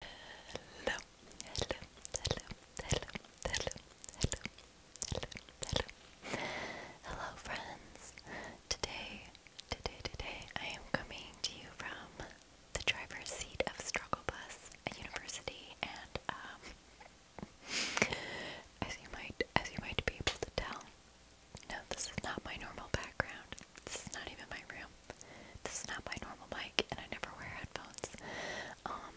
hello, hello, hello, hello, hello, hello, hello, hello. Hello friends. Today, today, today I am coming to you from the driver's seat of Struggle Bus at university and um, as you might as you might be able to tell, no, this is not my normal background. This is not even my room. This is not my normal mic, and I never wear headphones. Um,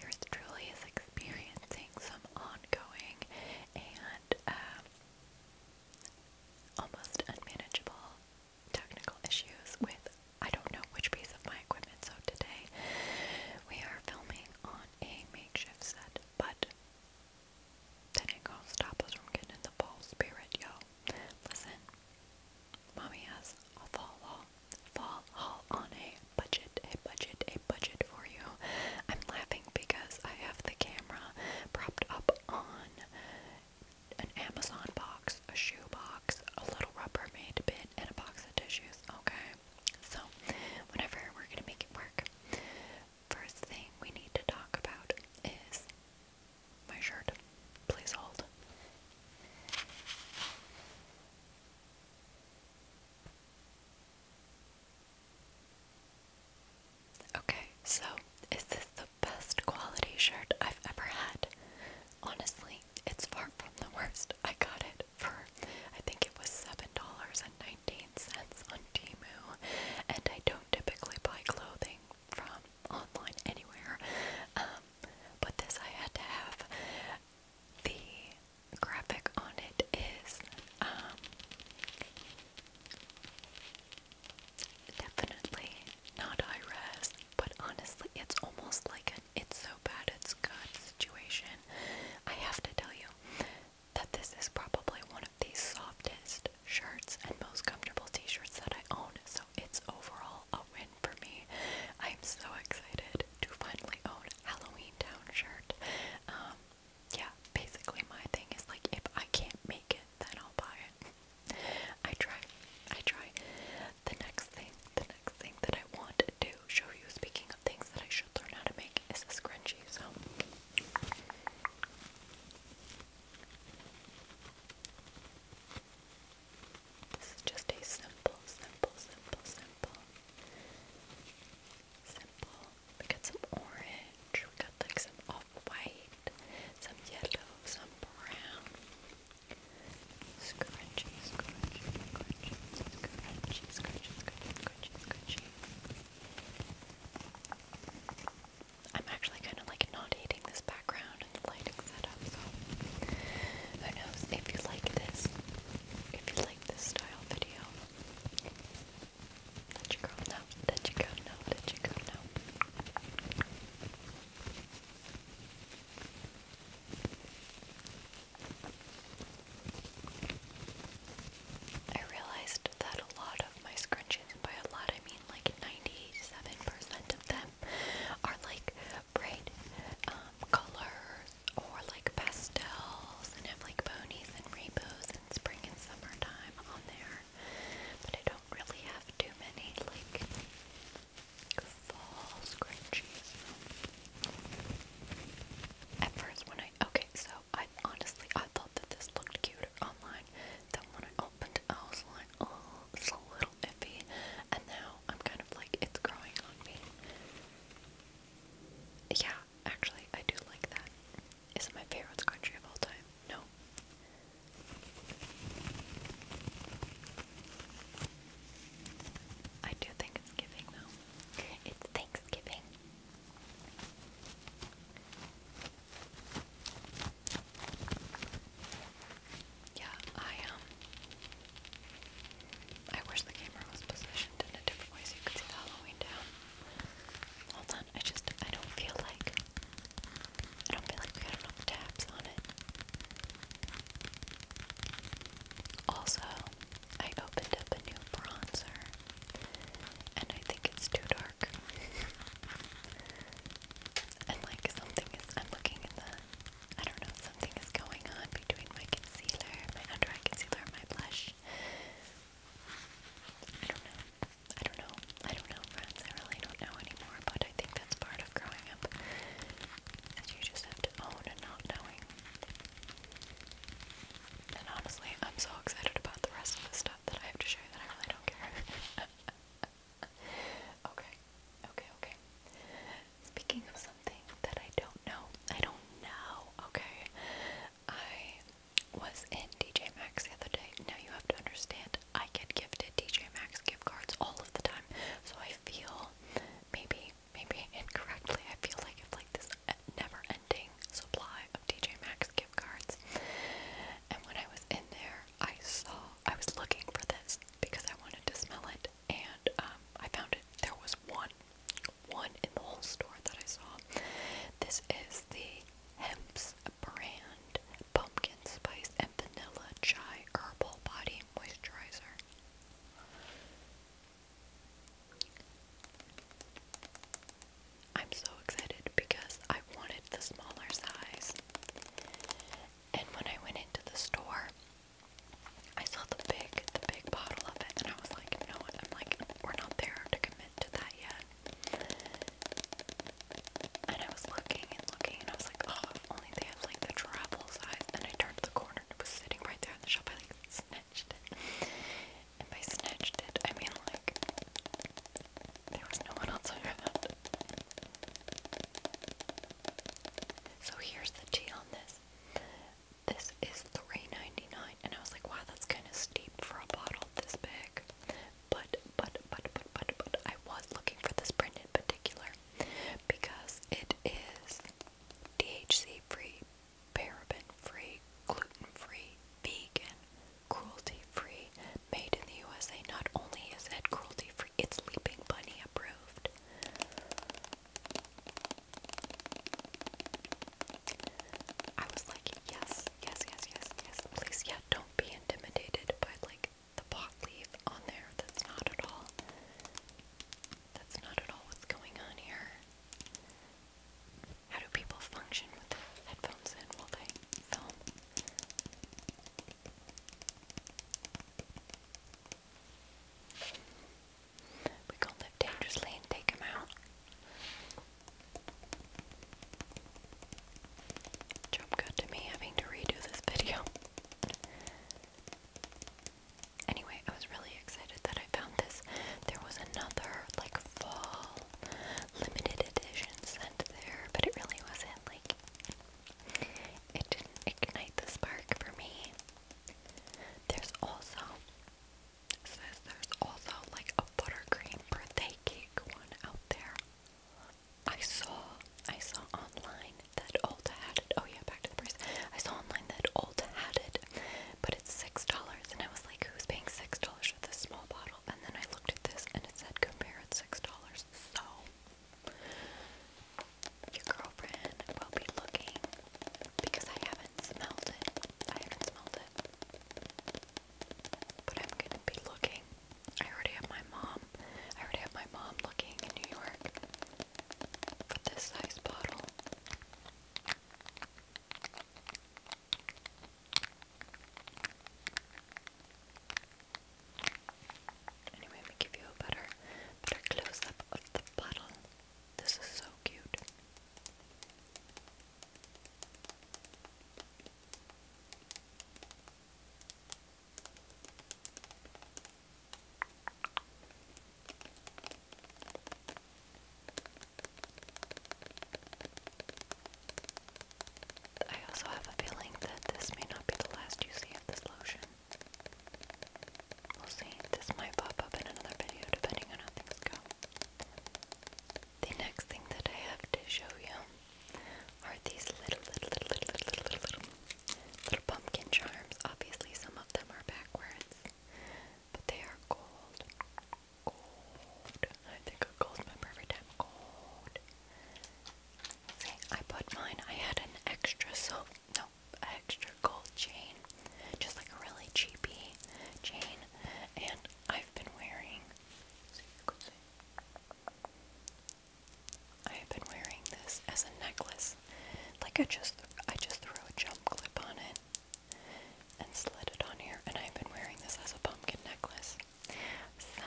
yours truly is experiencing some ongoing and um, almost unmanageable technical issues with I don't know which piece of my equipment. So today we are filming on a makeshift set, but that ain't gonna stop us from getting the ball spirit, yo. Listen, mommy has a fall haul, fall haul on a budget, a budget, a budget for you. I'm laughing because I have the camera propped up on an Amazon box, a shoe box, a little Rubbermaid bit, and a box of tissues. Okay, so whatever, we're gonna make it work. First thing we need to talk about is my shirt. Please hold. Okay, so is this the best quality shirt I've ever had? Honestly, it's far from the worst. I got it for, I think it was $7.19 on Temu, and I don't typically buy clothing from online anywhere. Um, but this I had to have. The graphic on it is um, definitely not high but honestly, it's almost like an it's so bad it's good situation. I have to tell you that this is probably one of the softest shirts and most comfortable t shirts that I own, so it's overall a win for me. I'm so excited to finally own Halloween Town shirt. Um, yeah, basically my thing is like if I can't make it, then I'll buy it. I try, I try. The next thing, the next thing that I want to show you, speaking of things that I should learn how to make, is a scrunchie. So. This is just a simple, simple, simple, simple, simple. We got some orange, we got like some off-white, some yellow, some brown. Scrunchy, scrunchy, scrunchy, scrunchy, scrunchy, scrunchy, scrunchy, I'm actually kind of like not hating this background out in if you like this, if you like this style video. Let your girl know, let your girl know, let your girl know. I realized that a lot of my scrunchies, by a lot I mean like 97% of them, are like bright um, colors or like pastels and have like ponies and rainbows and spring and summertime on there. But I don't really have too many like fall scrunchies. At first when I, okay, so I honestly, I thought that this looked cuter online than when I opened it. I was like, oh, it's a little iffy. And now I'm kind of like, it's growing on me. Yeah, actually, I do like that. Is it my favorite country of all time? No. I do think it's It's Thanksgiving. Yeah, I um I wish the camera was positioned in a different way so you could see the Halloween down. Hold on, I just I don't feel like I don't feel like we got enough tabs on it. Also, I opened up a new bronzer and I think it's too dark. and like something is I'm looking in the I don't know, something is going on between my concealer, my under eye concealer, and my blush. I don't know. I don't know. I don't know, friends. I really don't know anymore, but I think that's part of growing up. That you just have to own and not knowing. And honestly, I'm so excited about the rest of the stuff that I have to show you that I really don't care. okay, okay, okay. Speaking of something that I don't know, I don't know, okay? I was in DJ Max the other day. Now you have to understand, I get gifted DJ Max gift cards all of the time, so I feel maybe, maybe incorrectly, I feel like it's like this never-ending supply of DJ Max gift cards. And when I was in there, I saw I was looking for this because I wanted to smell it, and um, I found it. There was one, one in the whole store that I saw. This is the Hemp's brand pumpkin spice and vanilla chai herbal body moisturizer. I'm so excited because I wanted the smaller size. And when I went into the store, I saw the big, the big bottle of it, and I was like, no, I'm like, we're not there to commit to that yet. And I was looking and looking, and I was like, oh, if only they have like the travel size. And I turned the corner, and it was sitting right there in the shop. I like snatched it, and by snatched it, I mean like there was no one else around. So here's the tea on this. This is $3.99 and I was like, wow, that's kind of steep for a bottle this big. But, but, but, but, but, but, I was looking for this brand in particular because it is DHC free, paraben free, gluten free, vegan, cruelty free, made in the USA. Not only is it cruelty free, it's Leaping Bunny approved. I was like, yes, yes, yes, yes, yes. Please, yeah, don't be intimidated by like the pot leaf on there. That's not at all. That's not at all what's going on here. How do people function with headphones in while they film? We can live dangerously and take him out. Job got to me having to redo this video. Anyway, I was really excited that I found this. There was another, like, fall limited edition sent there, but it really wasn't, like, it didn't ignite the spark for me. There's also says there's also like a buttercream birthday cake one out there. I saw I saw online that Ulta had it. Oh yeah, back to the price. I saw online that Ulta had it, but it's six dollars, and I was like, who's paying six dollars for this small bottle? And then I looked at this, and it said compare at six dollars. So your girlfriend will be looking because I haven't smelled it. I haven't smelled it. But I'm gonna be looking. I already have my mom. I already have my mom looking in New York for this size bottle. Anyway, let me give you a better, better close up of the bottle. This is so cute. I also have a feeling that this may not be the last you of this lotion. We'll see. This might pop up in another video depending on how things go. The next thing that I have to show you are these little, little, little, little, little, little, little, pumpkin charms. Obviously, some of them are backwards, but they are gold. Gold. I think of gold member every time. Gold. See, I put mine. I had an extra silver no, extra gold chain, just like a really cheapy chain, and I've been wearing. I've been wearing this as a necklace. Like I just, I just threw a jump clip on it and slid it on here, and I've been wearing this as a pumpkin necklace. So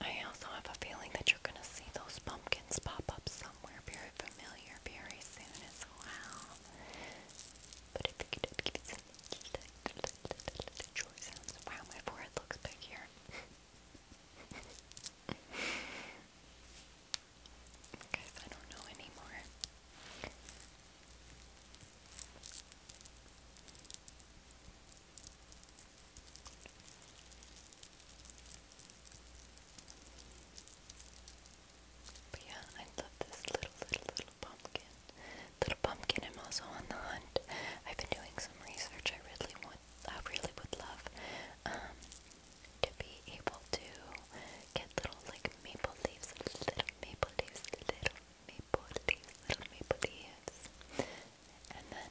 I also have a feeling that you're gonna see those pumpkins pop up soon somewhere very familiar very soon as well. But I figured I'd give you some joy sounds. Wow, my forehead looks big here. Guys, I don't know anymore. But yeah, I love this little, little, little pumpkin. Little pumpkin, I'm also on the hunt. I've been doing some research. I really want, I really would love um, to be able to get little, like, maple leaves, little maple leaves, little maple leaves, little maple leaves. And then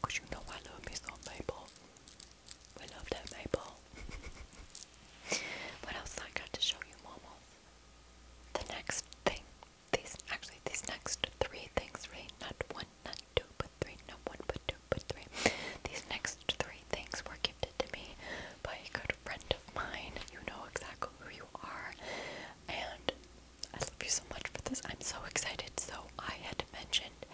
Because you know I love me some maple. We love that maple. what else I got to show you, Momo? The next thing, these actually these next three things, right? Not one, not two, but three. Not one, but two, but three. These next three things were gifted to me by a good friend of mine. You know exactly who you are, and I love you so much for this. I'm so excited. So I had mentioned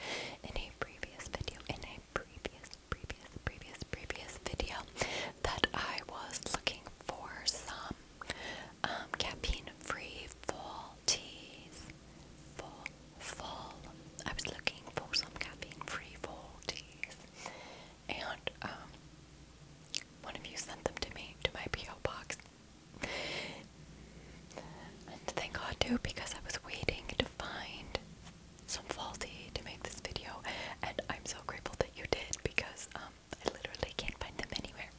in a previous video, in a previous, previous, previous, previous video, that I was looking for some um, caffeine-free fall teas. Fall, fall. I was looking for some caffeine-free fall teas, and um, one of you sent them to me to my PO box. And thank God too, because I was waiting to find some faulty to make this video, and I'm so grateful that you did because um, I literally can't find them anywhere.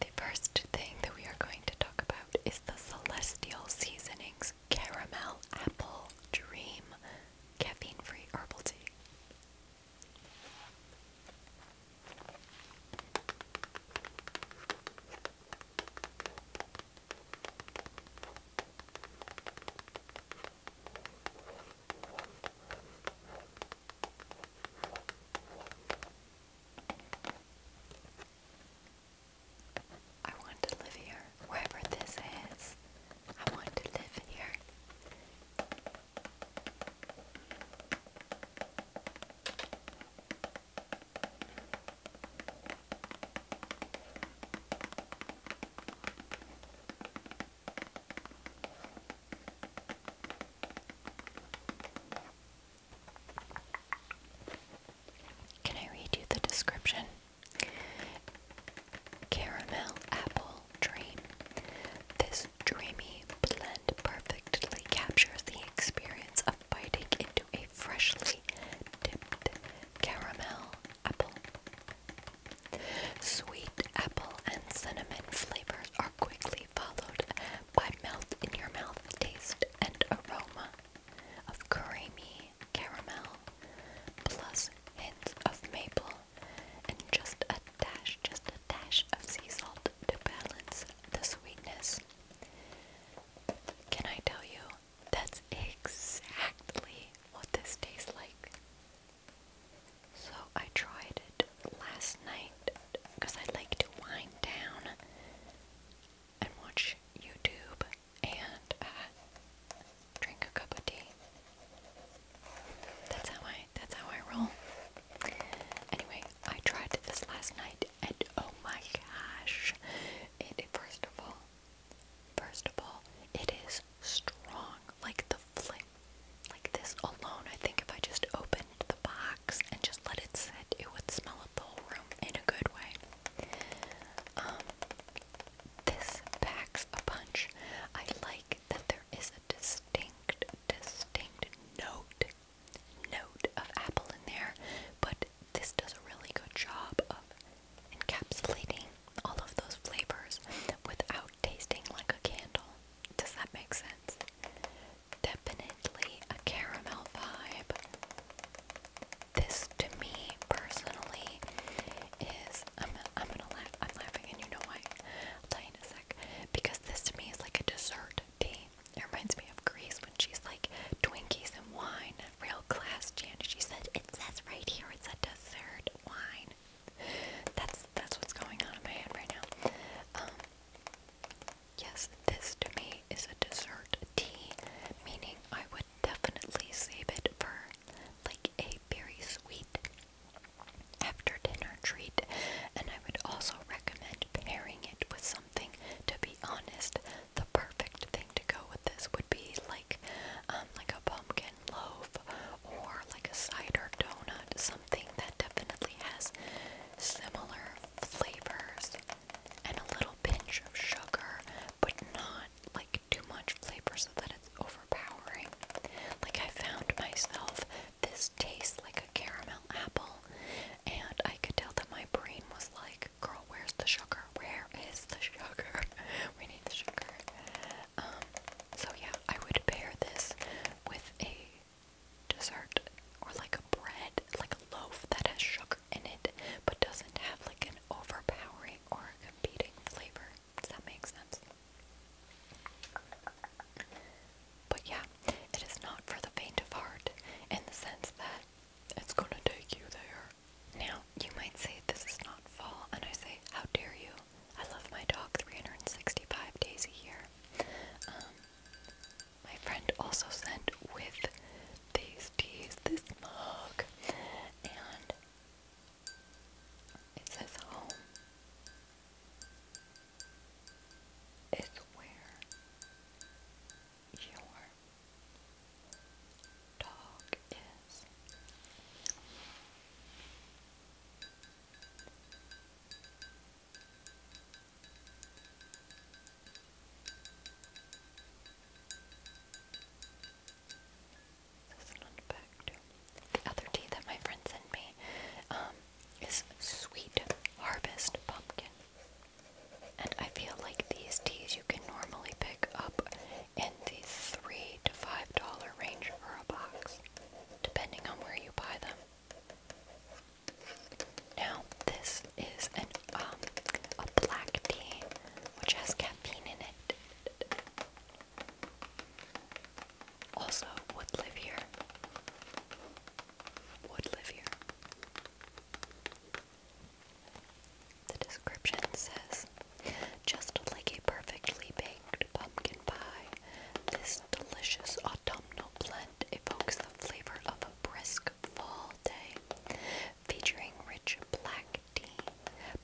the first thing that we are going to talk about is the Celestial Seasonings Caramel Apple Dream Caffeine Free Herbal Tea. I want to live here, wherever this is. I want to live here. Can I read you the description? Caramel apple dream. This dreamy blend perfectly captures the experience of biting into a freshly dipped caramel apple. Sweet apple and cinnamon flavors are quickly followed by mouth in your mouth taste and aroma of creamy caramel plus hint of maple and just a dash, just a dash of sea salt to balance the sweetness. Can I tell you, that's exactly what this tastes like. So I tried it last night because I like to wind down and watch YouTube and uh, drink a cup of tea. That's how I that's how I roll. Anyway, I tried this last night and oh my gosh. It first of all first of all, it is strong. Like the flip like this alone. I think if I just opened the box and just let it sit, it would smell up the whole room in a good way. Um this packs a punch. I like that there is a distinct distinct note note of apple in there, but this does a really good job of encapsulating all of those flavors without tasting like a candle. Does that make sense? Definitely a caramel vibe. This to me personally is I'm I'm gonna laugh I'm laughing and you know why. I'll tell you in a sec. Because because this to me is like a dessert tea. It reminds me of Greece when she's like Twinkies and wine, real class Janet. She said it says right here it's a dessert wine. That's that's what's going on in my head right now. Um, yes, this to me is a dessert tea, meaning I would definitely save it for like a very sweet after dinner treat, and I would also recommend pairing it with something. To be honest, the perfect thing to go with this would be like, um, like a pumpkin loaf or like a cider donut, something that definitely has similar flavors and a little pinch of sugar, but not like too much flavor so that it's overpowering. Like I found myself this tastes like a caramel apple. And I could tell that my brain was like, girl, where's the sugar? Where is the sugar? we need the sugar. Um, so yeah, I would pair this with a dessert or like a bread, like a loaf that has sugar in it, but doesn't have like an overpowering or competing flavor. Does that make sense? But yeah, it is not for the faint of heart in the sense that it's gonna take you there. Now, you might say this is not fall, and I say, how dare you? I love my dog 365 days a year. Um, my friend also sent with these teas this mug, and it says home is where your dog is. This on the back too. The other tea that my friend sent me, um, is Sweet Harvest Pumpkin. And I feel like these teas you can normally pick up in the three to five dollar range for a box, depending on where you buy them. Now this is an um a black tea which has caffeine in it also would live here. Would live here. The description says just like a perfectly baked pumpkin pie, this delicious autumnal blend evokes the flavor of a brisk fall day, featuring rich black tea,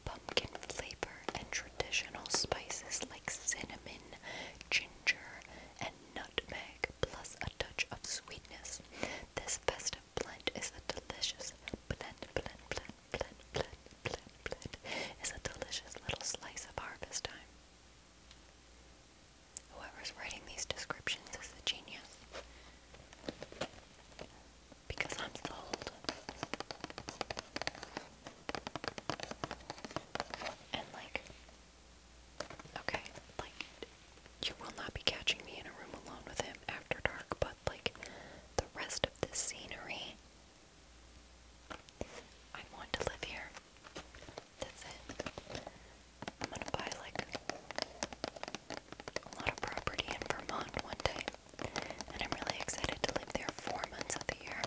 pumpkin flavor, and traditional spices like cinnamon, ginger and nutmeg, plus a touch of sweetness. This festive blend is a delicious blend, blend, blend, blend, blend, blend, blend, is a delicious little slice of harvest time. Whoever's writing these descriptions is a genius. Because I'm sold. And like, Okay, like, you will not be catching me in a room alone with him after dark, but, like, the rest of this scenery, I want to live here. That's it. I'm gonna buy, like, a lot of property in Vermont one day, and I'm really excited to live there four months of the year.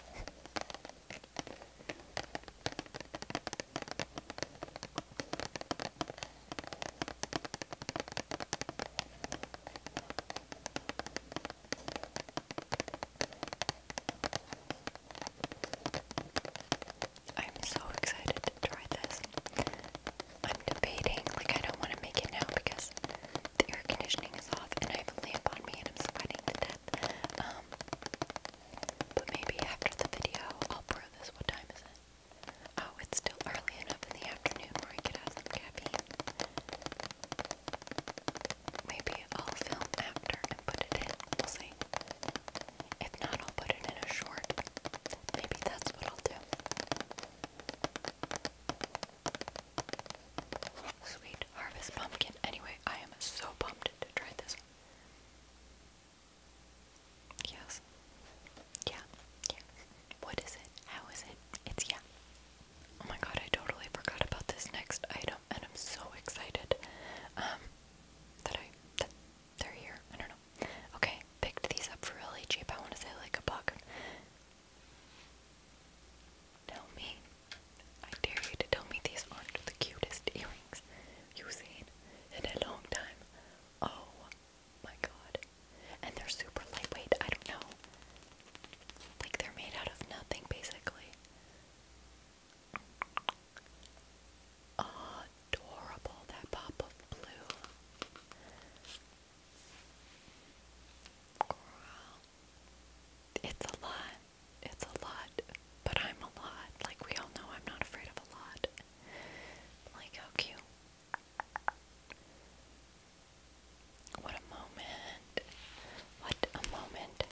I'm so excited to try this. I'm debating, like, I don't want to make it now because the air conditioning is off and I have a lamp on me and I'm sweating to death. Um, but maybe after the video, I'll pour this. What time is it? Oh, it's still early enough in the afternoon where I could have some caffeine. Maybe I'll film after and put it in. We'll see. If not, I'll put it in a short. Maybe that's what I'll do. Sweet harvest pumpkin. Anyway, I am so pumped to try this Yes. Yeah. Yeah. What is it? How is it? It's yeah. Oh my god, I totally forgot about this next item and I'm so excited. Um that I that they're here. I don't know. Okay, picked these up for really cheap. I wanna say like a buck. Tell me I dare you to tell me these aren't the cutest earrings you've seen in a long time. Oh my god. And they're super lightweight. I don't know. Like they're made out of nothing basically. Adorable that pop of blue. It's a lot. It's a lot, but I'm a lot. Like, we all know I'm not afraid of a lot. Like, how cute. What a moment. What a moment.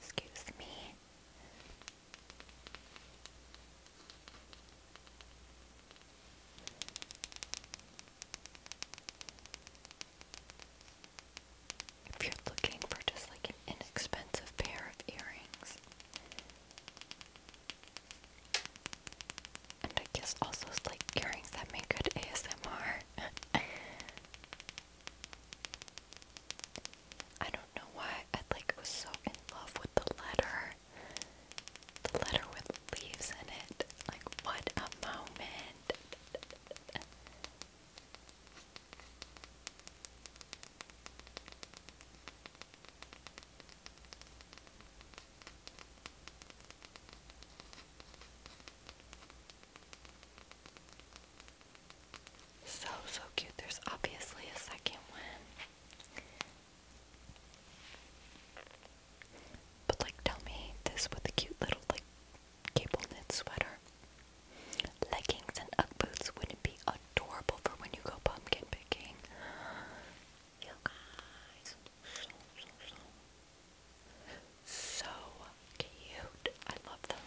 Excuse me if you're looking for just like an inexpensive pair of earrings. And I guess also like earrings that make good ASMR. I don't know why I like was so in love with the letter. The letter with leaves in it. Like what a moment. So, so cute. There's obviously a second one. But like tell me this with a cute little like cable knit sweater. Leggings and Ugg boots would be adorable for when you go pumpkin picking. You guys, so, so, so, so cute. I love them,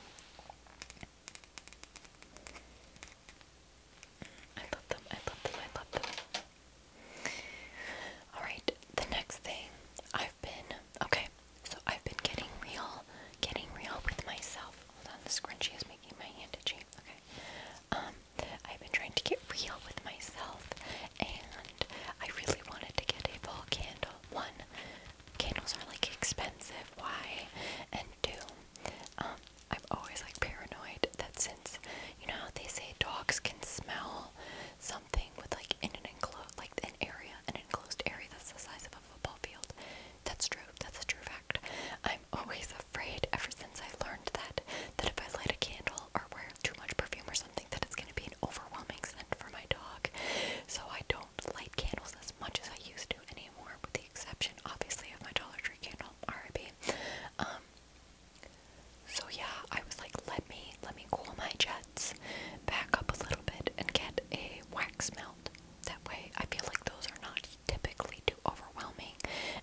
I love them, I love them. Alright, the next thing I've been, okay, so I've been getting real, getting real with myself. Hold on, the scrunchie is making my hand itchy. Okay. Um, I've been trying to get real with myself, and I really wanted to get a fall candle. One, candles are like expensive. Why? And two, um, I'm always like paranoid that since you know how they say dogs can smell, so something with like in an enclosed, like an area, an enclosed area that's the size of a football field. That's true. That's a true fact. I'm always afraid ever since I learned that that if I light a candle or wear too much perfume or something, that it's going to be an overwhelming scent for my dog. So I don't light candles as much as I used to anymore, with the exception, obviously, of my Dollar Tree candle. R.I.P. Um. So yeah, I was like, let me let me cool my jets back up a little bit and get a wax melt. That way, I feel like those are not typically too overwhelming,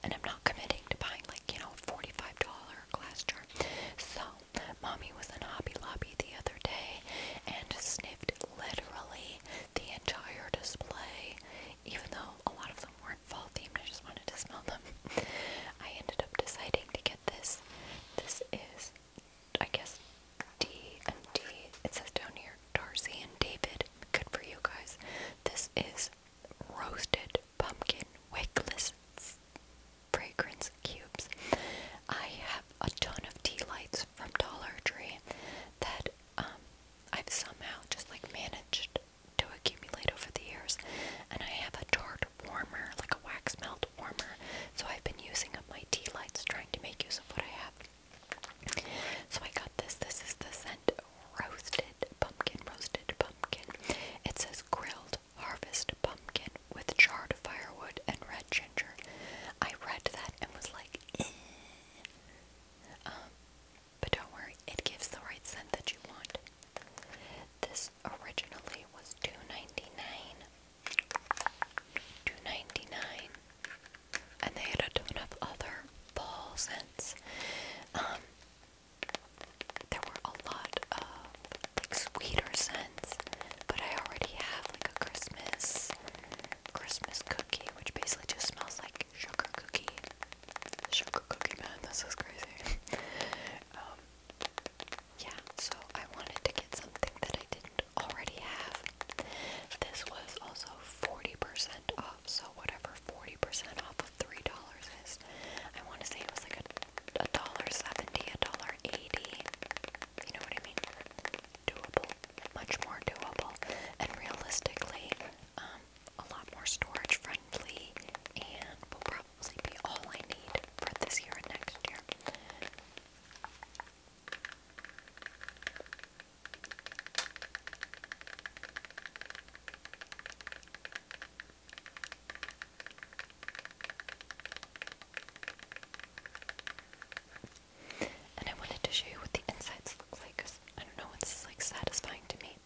and I'm not committing to buying like you know forty-five dollar glass jar. So, mommy was in Hobby Lobby the other day and sniffed literally the entire display, even though a lot of them weren't fall themed. I just wanted to smell them. I ended up deciding to get this. This is I guess D and D. It says down here Darcy and David. Good for you guys. This is roasted pumpkin wickless fragrance cubes. I have a ton of tea lights from Dollar Tree that um, I've somehow just like managed to accumulate over the years, and I have a tart warmer, like a wax melt warmer. So I've been using up my tea lights to make use of what I have. So I got this. This is the scent roasted pumpkin, roasted pumpkin. It says grilled harvest pumpkin with charred firewood and red ginger. I read that and was like, eh. um, but don't worry, it gives the right scent that you want. This originally was $2.99. $2.99. And they had a ton of other fall scents. Um, there were a lot of like sweeter scents, but I already have like a Christmas Christmas cookie, which basically just smells like sugar cookie. Sugar cookie, man, this is crazy. um, yeah, so I wanted to get something that I didn't already have. This was also 40% off, so whatever 40% off of $3 is, I want to say it was like a dollar seventy, a dollar eighty. You know what I mean? Doable, much more doable, and realistically, um, a lot more storage friendly, and will probably be all I need for this year and next year. And I wanted to show you what the insides look like because I don't know, it's like satisfying to me.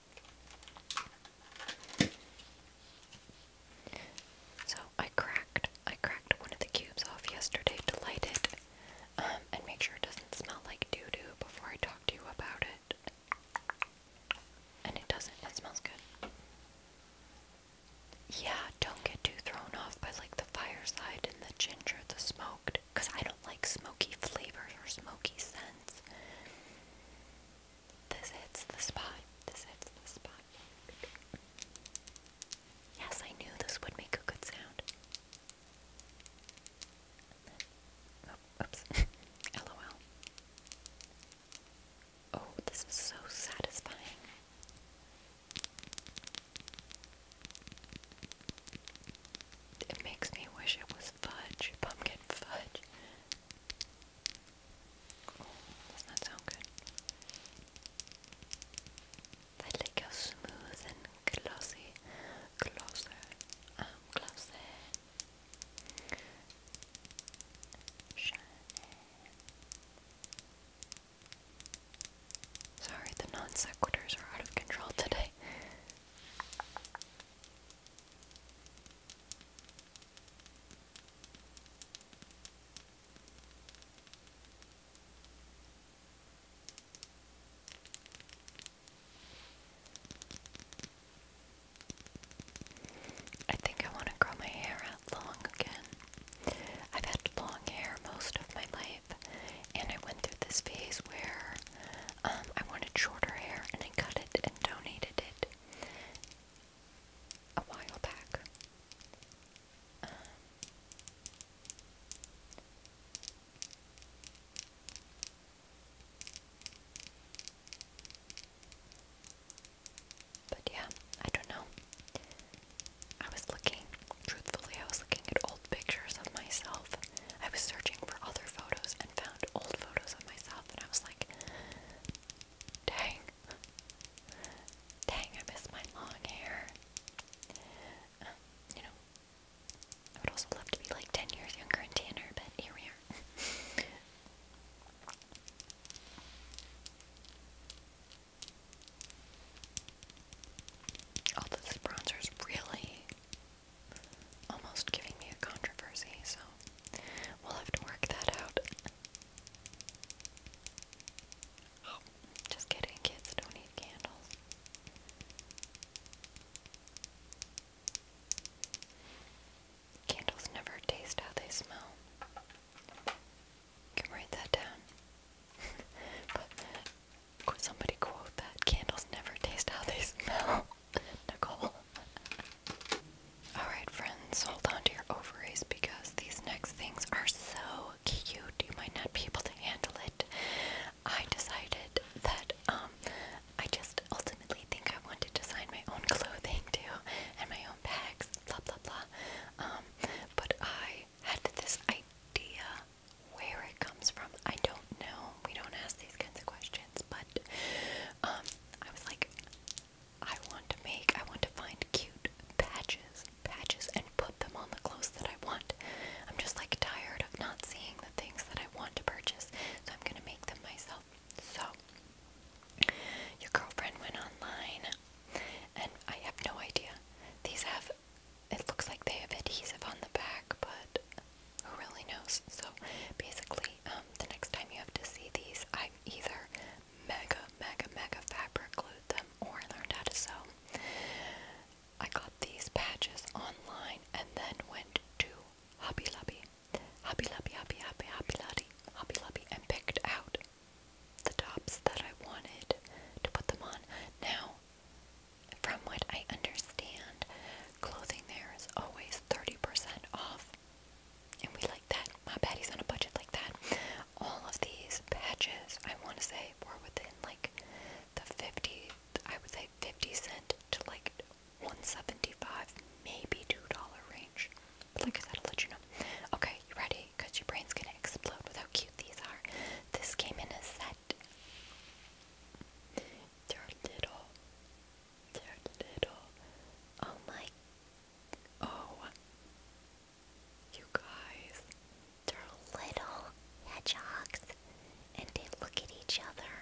So I cracked I cracked one of the cubes off yesterday to light it um, and make sure it doesn't smell like doo-doo before I talk to you about it. And it doesn't. It smells good. Yeah, don't get too thrown off by like the fireside and the ginger, the smoked, because I don't like smoky flavors or smoky scents. This hits the spot. This hits the spot. Yes, I knew this would make a good sound. oops. LOL. Oh, this is so satisfying. It makes me wish it was fudge, pumpkin fudge. Oh, does that sound good? They look how smooth and glossy, closer, um, glossy. Shiny. Sorry, the non sequiturs are out of control today. I think I want to grow my hair out long again. I've had long hair most of my life, and I went through this phase where um, I wanted shorter hair, and I cut it and donated it a while back but yeah, I don't know. I was looking, truthfully, I was looking at old pictures of myself. I was searching for other photos and found old photos of myself, and I was like, dang, dang, I miss my long hair. Um, you know, I would also love to be like 10 years younger and tanner, but here we are. All oh, this bronzer is really almost giving me a controversy, so we'll have to work that out just kidding, kids don't need candles. Candles never taste how they smell. can write that down. but somebody quote that candles never taste how they smell. Nicole. Alright, friends, hold on to your ovaries because these next things are so cute, you might not be able to handle it. I decided that um, I just ultimately think I wanted to design my own clothing too and my own bags, blah blah blah. Um, but I had this idea where it comes from. I don't know. We don't ask these kinds of questions, but um, I was like, I want to make, I want to find cute patches patches and put them on the clothes that I want. I'm just like tired of not seeing the things that I want to purchase, so I'm gonna make them myself. So, your girlfriend went online, and I have no idea. These have, it looks like they have adhesive on the back, but who really knows? So, basically, um, the next time you have to see these, I've either mega, mega, mega fabric glued them or learned how to sew. I got these patches online and then went to Hobby Lobby, Hobby Lobby, Hobby Hobby Hobby Lobby, Hobby Lobby, and picked out the tops that I wanted to put them on. Now, from what I understand, clothing there is always 30% off. And we like that. My Patty's on a budget like that. All of these patches, I want to say were within like the 50, I would say 50 cent to like 175, maybe $2 range. like I said, I'll let you know. Okay, you ready? Because your brain's gonna explode with how cute these are. This came in a set. They're little. They're little. Oh my. Oh you guys. They're little hedgehogs and they look at each other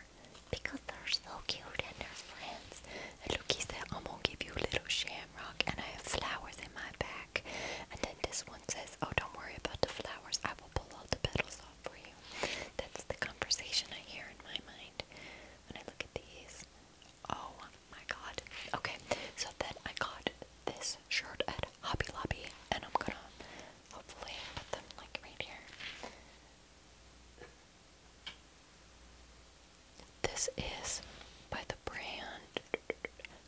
because they're so cute and they're friends. And look, said, I'm gonna give you a little shamrock and I have flowers in my back. And then this one says, Oh, don't worry about the flowers. I will pull all the petals off for you. That's the conversation I hear in my mind when I look at these. Oh my god. Okay, so then I got this this at Hobby Lobby, and I'm gonna hopefully put them like right here. This is by the brand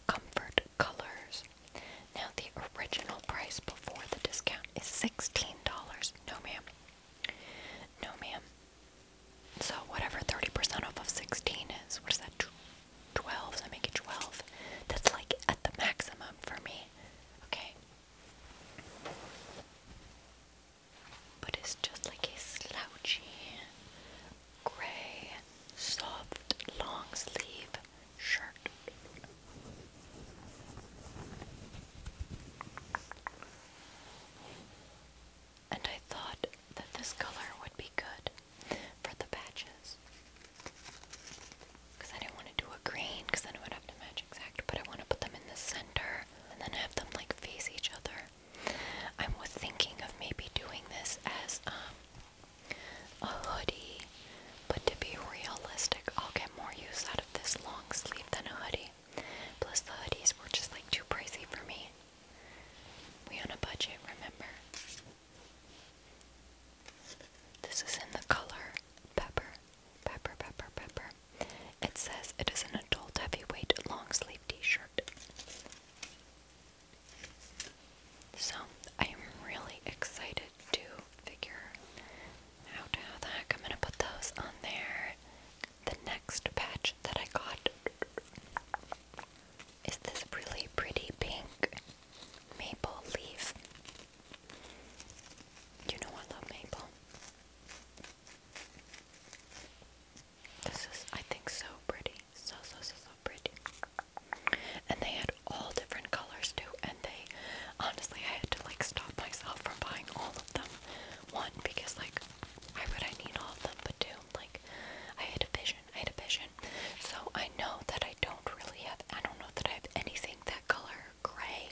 Comfort Colors. Now, the original price before the discount is $16. No, ma'am. No, ma'am. So, whatever 30% off of 16 is, what is that? 12s. I make it 12. That's like at the maximum for me. Okay. But it's just like a slouchy, gray, soft, long sleeve shirt. And I thought that this color would be good for the patches. Because I didn't want to do a green, because then it would have to match exact, but I want to put them in the center and then have them like face each other. I was thinking of maybe doing this as um, a hoodie, but to be realistic, I'll get more use out of this long sleeve than a hoodie. Plus, the hoodies were just like too pricey for me. We on a budget, remember? This is in the color pepper, pepper, pepper, pepper. It says it is an adult heavyweight long sleeve t shirt. So I am really excited to figure out how the heck I'm going to put those on there. The next patch that I got is this really pretty pink maple leaf. You know I love maple. This is, I think, so pretty. So, so, so, so pretty. And they had all different colors too. And they, honestly, I had to like stop myself from buying all of them. One, because like, why would I need all of them? But two, like, I had a vision I had vision. So I know that I don't really have, I don't know that I have anything that color gray.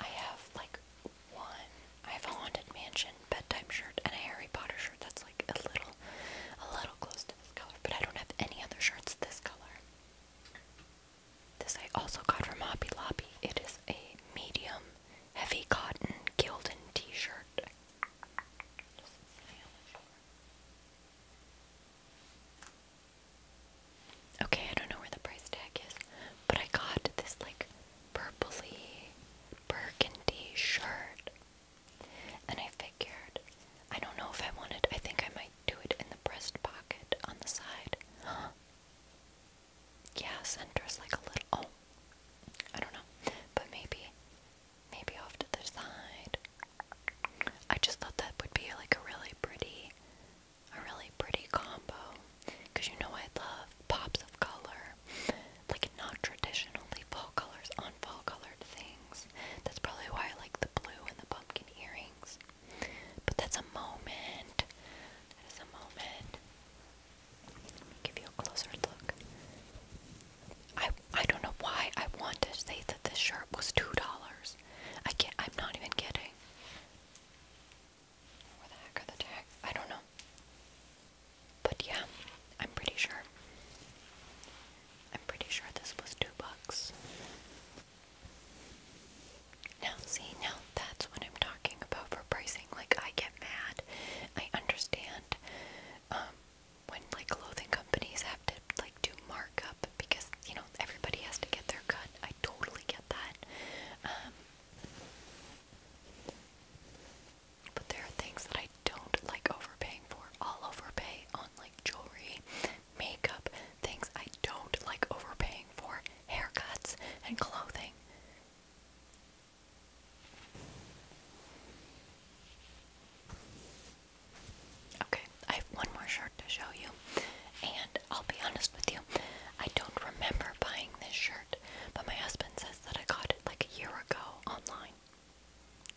I have like one, I have a Haunted Mansion bedtime shirt and a Harry Potter shirt that's like a little, a little close to this color, but I don't have any other shirts this color. This I also got from Hobby Lobby. It is a medium heavy cotton Gildan t-shirt. Okay, I don't know where the price tag is, but I got this like purpley burgundy shirt. And I figured, I don't know if I wanted, I think I might do it in the breast pocket on the side. Huh. Yeah, center's like a little, oh, I don't know, but maybe Maybe off to the side. I just thought that would be like a really pretty, a really pretty combo. Cause you know I love pops of color, like not traditionally fall colors on fall colored things. That's probably why I like the blue and the pumpkin earrings. But that's a moment. That is a moment. Let me give you a closer look. I I don't know why I want to say that this shirt was two dollars. I can't. I'm not even kidding. Where the heck are the tags? I don't know. But yeah, I'm pretty sure. I'm pretty sure this was two bucks. Now, see, now that's what I'm talking about for pricing. Like, I get mad. I understand. Um, when like clothing companies have to like do markup because you know everybody has to get their cut. I totally get that. Um, but there are things that I don't like overpaying for. I'll overpay on like jewelry, makeup, things I don't like overpaying for, haircuts and clothing. Okay, I have one more shirt to show you, and I'll be honest with you, I don't remember buying this shirt, but my husband says that I got it like a year ago online.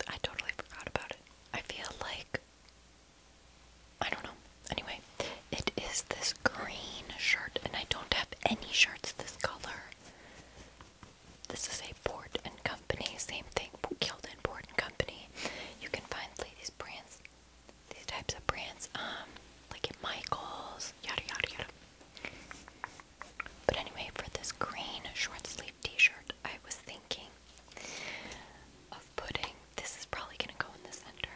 I totally forgot about it. I feel like I don't know. Anyway, it is this green shirt, and I don't have any shirts this color. This is a Port and Co company, same thing, Gildan Board Company. You can find these brands, these types of brands, um, like at Michaels, yada yada yada. But anyway, for this green short sleeve t-shirt, I was thinking of putting, this is probably gonna go in the center,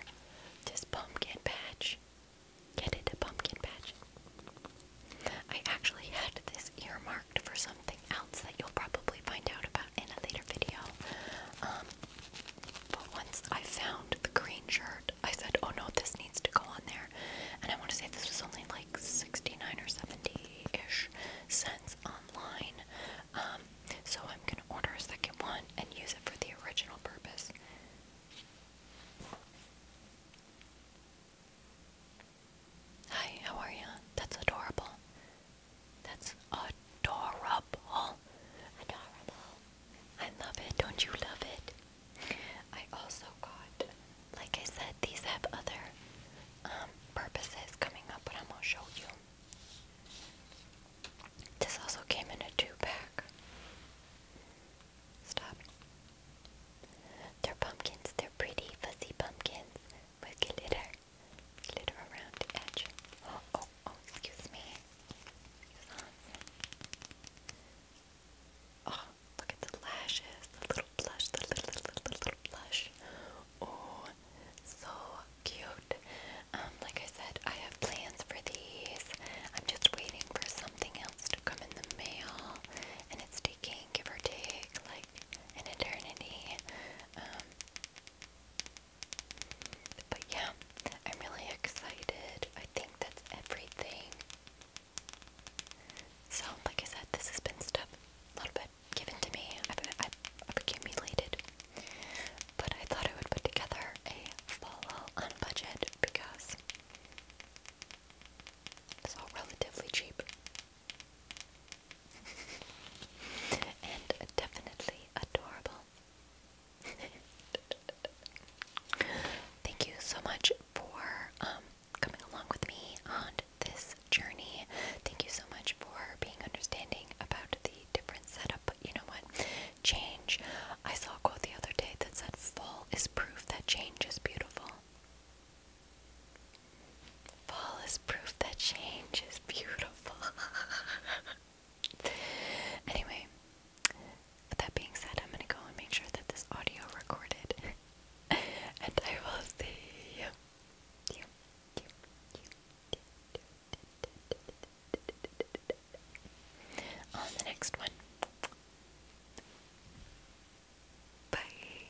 this pumpkin patch. Get it, pumpkin patch. I actually had this earmark for something else that you'll probably find out about in a later video. Um, but once I found the green shirt, I said, oh no, this needs to go on there. And I want to say this was only like 69 or 70-ish cents online. Um, so I'm going to order a second one and use it for the original purpose. Hi, how are you? That's adorable. That's adorable. Adorable. I love it. Don't you love it? I also got, like I said, these have other um, purposes coming up, but I'm going to show you. This also came in a two pack. Stop. They're pumpkins. They're pretty, fuzzy pumpkins with glitter slid around the edge. Oh, oh, excuse me. oh, look at the lashes, the little blush, the little, little, little, little blush. Oh, so cute. Um, like I said, I have plans for these. I'm just waiting for something else to come in the mail, and it's taking, give or take, like an eternity. Um, but yeah, I'm really excited. I think that's everything. So, like I said, this has been stuff a little bit given to me. I've, I've, I've accumulated, but I thought I would put together a follow on budget because it's all relatively cheap. and definitely adorable. Thank you so much for um, coming along with me on this journey. Thank you so much for being understanding about the different setup. But you know what? Change. I saw a quote the other day that said, Fall is proof that change is beautiful. Fall is proof that change is beautiful. anyway, with that being said, I'm gonna go and make sure that this audio recorded, and I will see you. on the next one. Bye.